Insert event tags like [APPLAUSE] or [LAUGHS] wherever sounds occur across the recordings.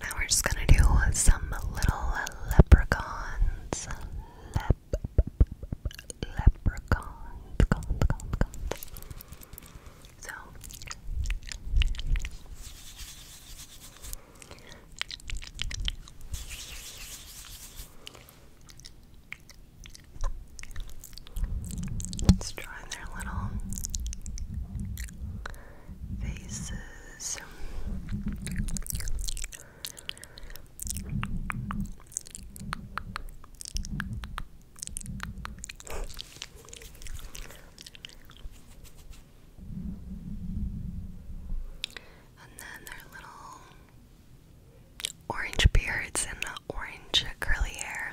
Now we're just gonna do some little leprechauns. Lep leprechauns. Gone, gone, So Let's draw their little faces. And then their little orange beards and orange curly hair.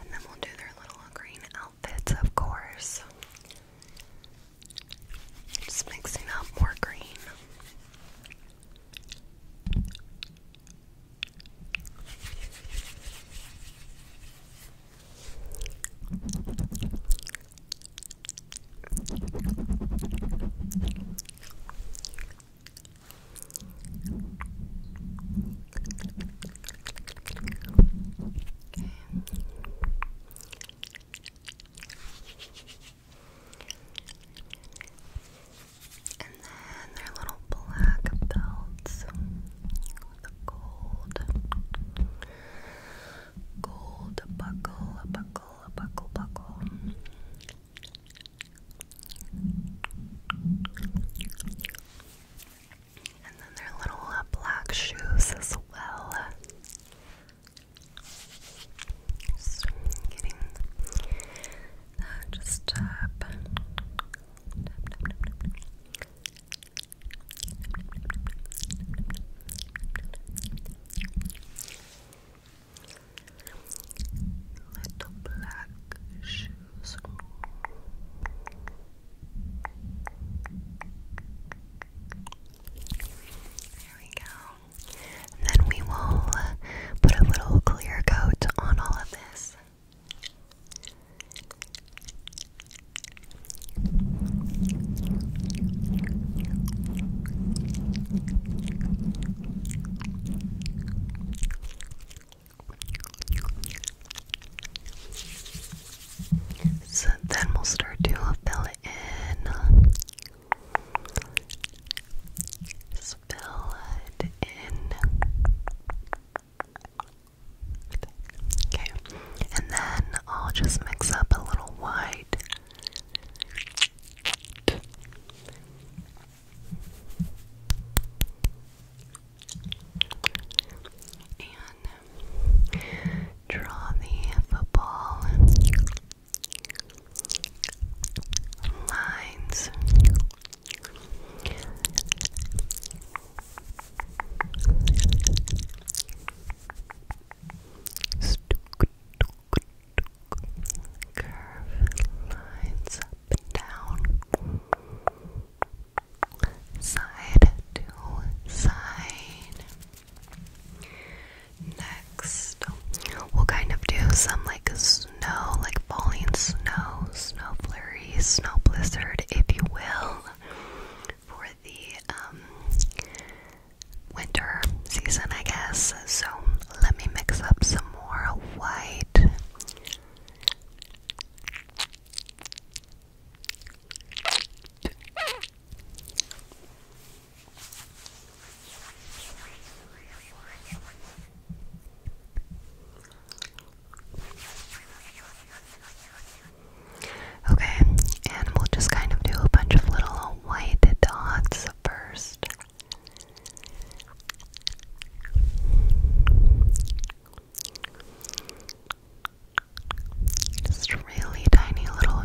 And then we'll do their little green outfits, of course. Just mixing up more green. Okay. And then their little black belts with a gold, gold buckle, a buckle, a buckle, buckle. And then their little uh, black shoes as well. Just tap little black shoes. There we go. then we will put a little clear coat on all of this. So then we'll start to fill it in. fill it in. Okay, and then I'll just mix up a little white. And draw the football lines. Curve lines down, side to side. Next, we'll kind of do some like snow, like falling snow, snow flurry, snow blizzard, if you will, for the um, winter season, I guess. So let me mix up some more white. Okay, and we'll just kind of do a bunch of little white dots first. Just really tiny little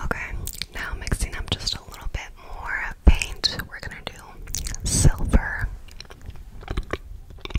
Okay, now mixing up just a little bit more paint, we're gonna do silver.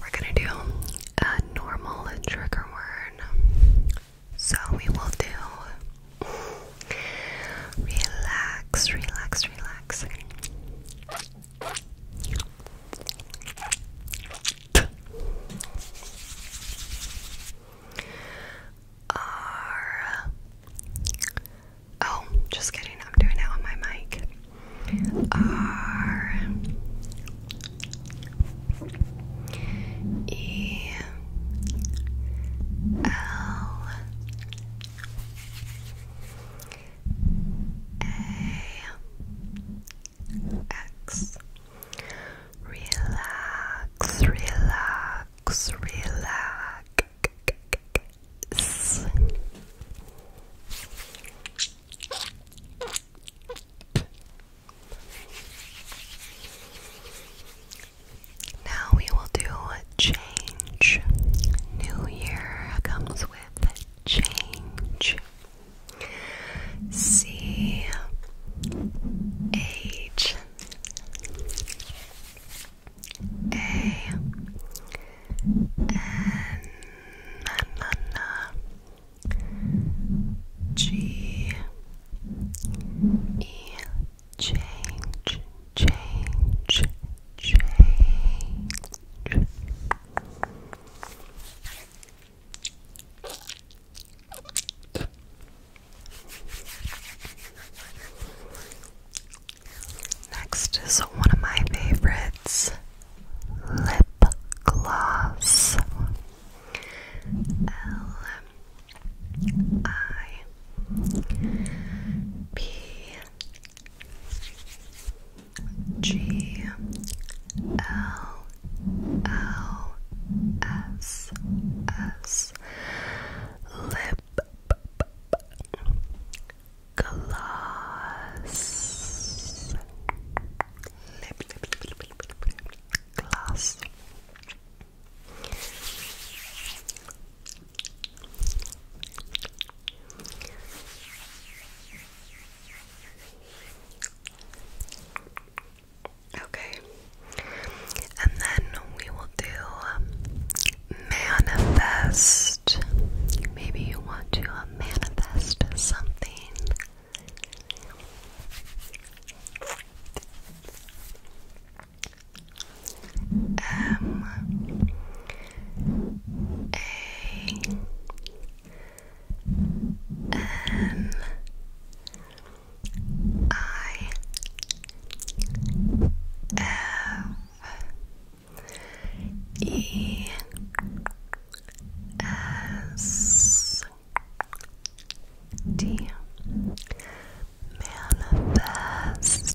we're gonna do a normal trigger word. So we will do relax, relax, relax. R. Oh, just kidding. I'm doing it on my mic. R E L A X Relax, relax, relax. Now we will do a change. New year comes with change. C H A N N N N G E change change change Next is one of my favorites lip gloss L I P G L L S S lip gloss lip, lip, lip, lip, lip, lip, lip glass. Okay, and then we will do um, manifest. Maybe you want to uh, manifest something um, a N I F E S D manifest.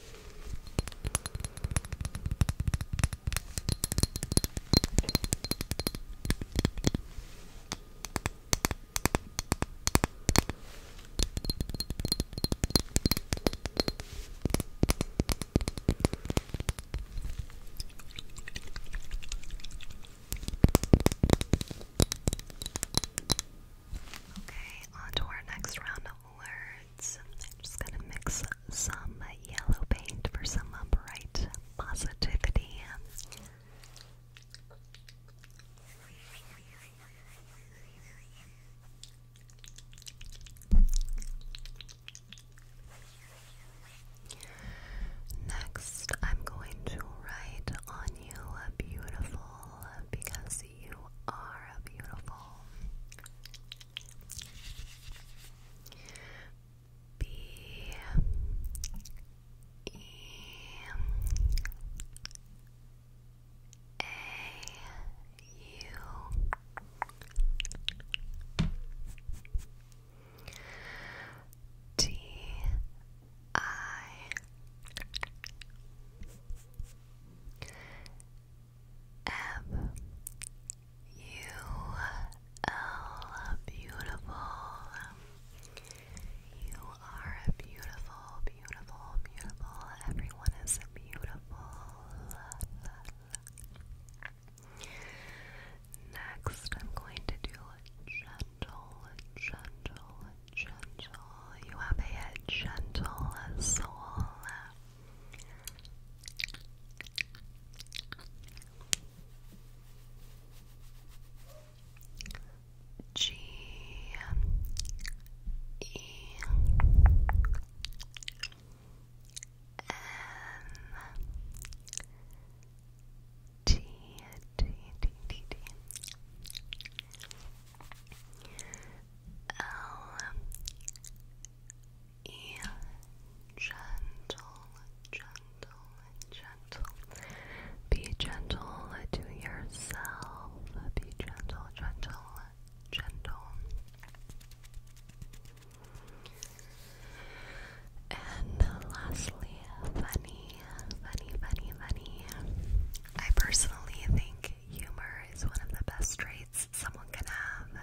Okay, on to our next round words. I'm just going to mix some yellow paint for some upright positivity. Next, I'm going to write on you beautiful because you are beautiful. B E A U T I F U L beautiful. You are a beautiful, beautiful, beautiful. Everyone is beautiful. Next, I'm going to do gentle, gentle, gentle. You have a gentle soul. G E N T T T T T L gentle, gentle, gentle. Be gentle to yourself. Be gentle, gentle, gentle. And lastly, funny, funny, funny, funny. I personally think humor is one of the best traits someone can have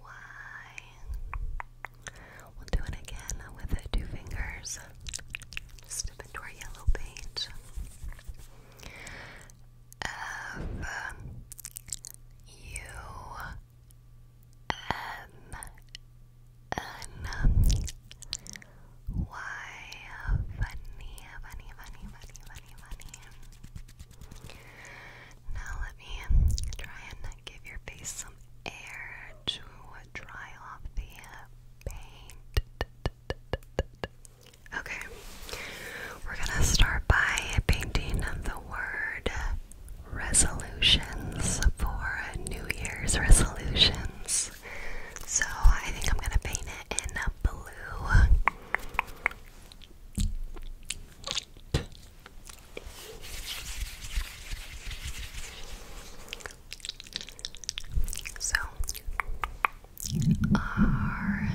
why? We'll do it again with the two fingers. Step into our yellow page. F U N N Y funny, funny, funny, funny, funny, funny. Now let me try and give your face some air to dry off the paint. Okay, we're gonna start by painting the word resolutions for New Year's resolutions. So I think I'm gonna paint it in a blue. So, R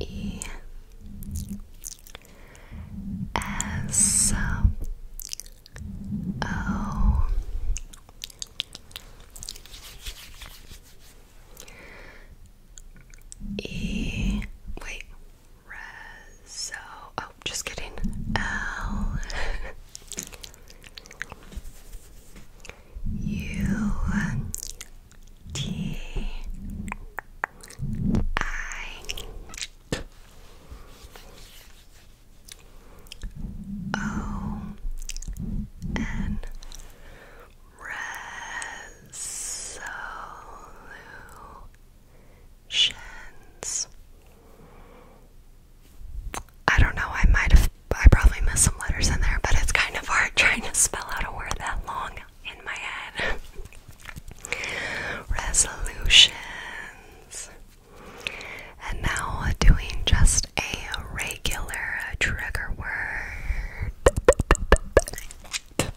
E S O E. Wait. Rezo. Oh, just kidding. L. U. T. I. O. N resolutions. I don't know, I might have, I probably missed some letters in there, but it's kind of hard [LAUGHS] trying to spell out a word that long in my head. [LAUGHS] Resolutions. And now doing just a regular trigger word that.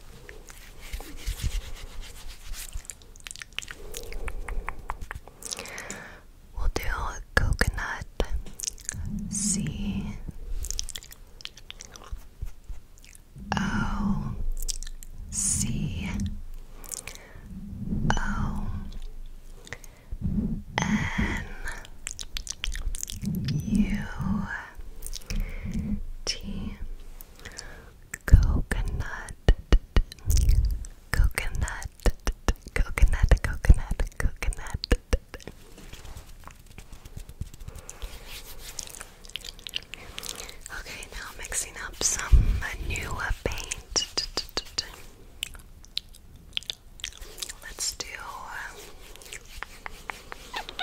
We'll do coconut C O C O N U T coconut coconut coconut coconut coconut Okay, now mixing up some new paint. Let's do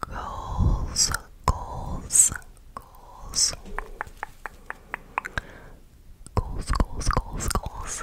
goals, goals, goals, goals, goals, goals, goals.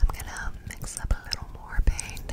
I'm going to mix up a little more paint.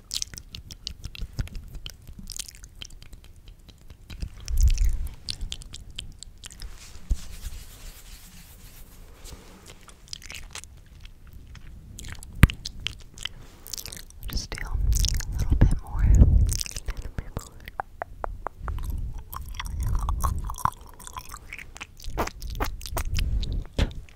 We'll just do a little bit more. A little bit more.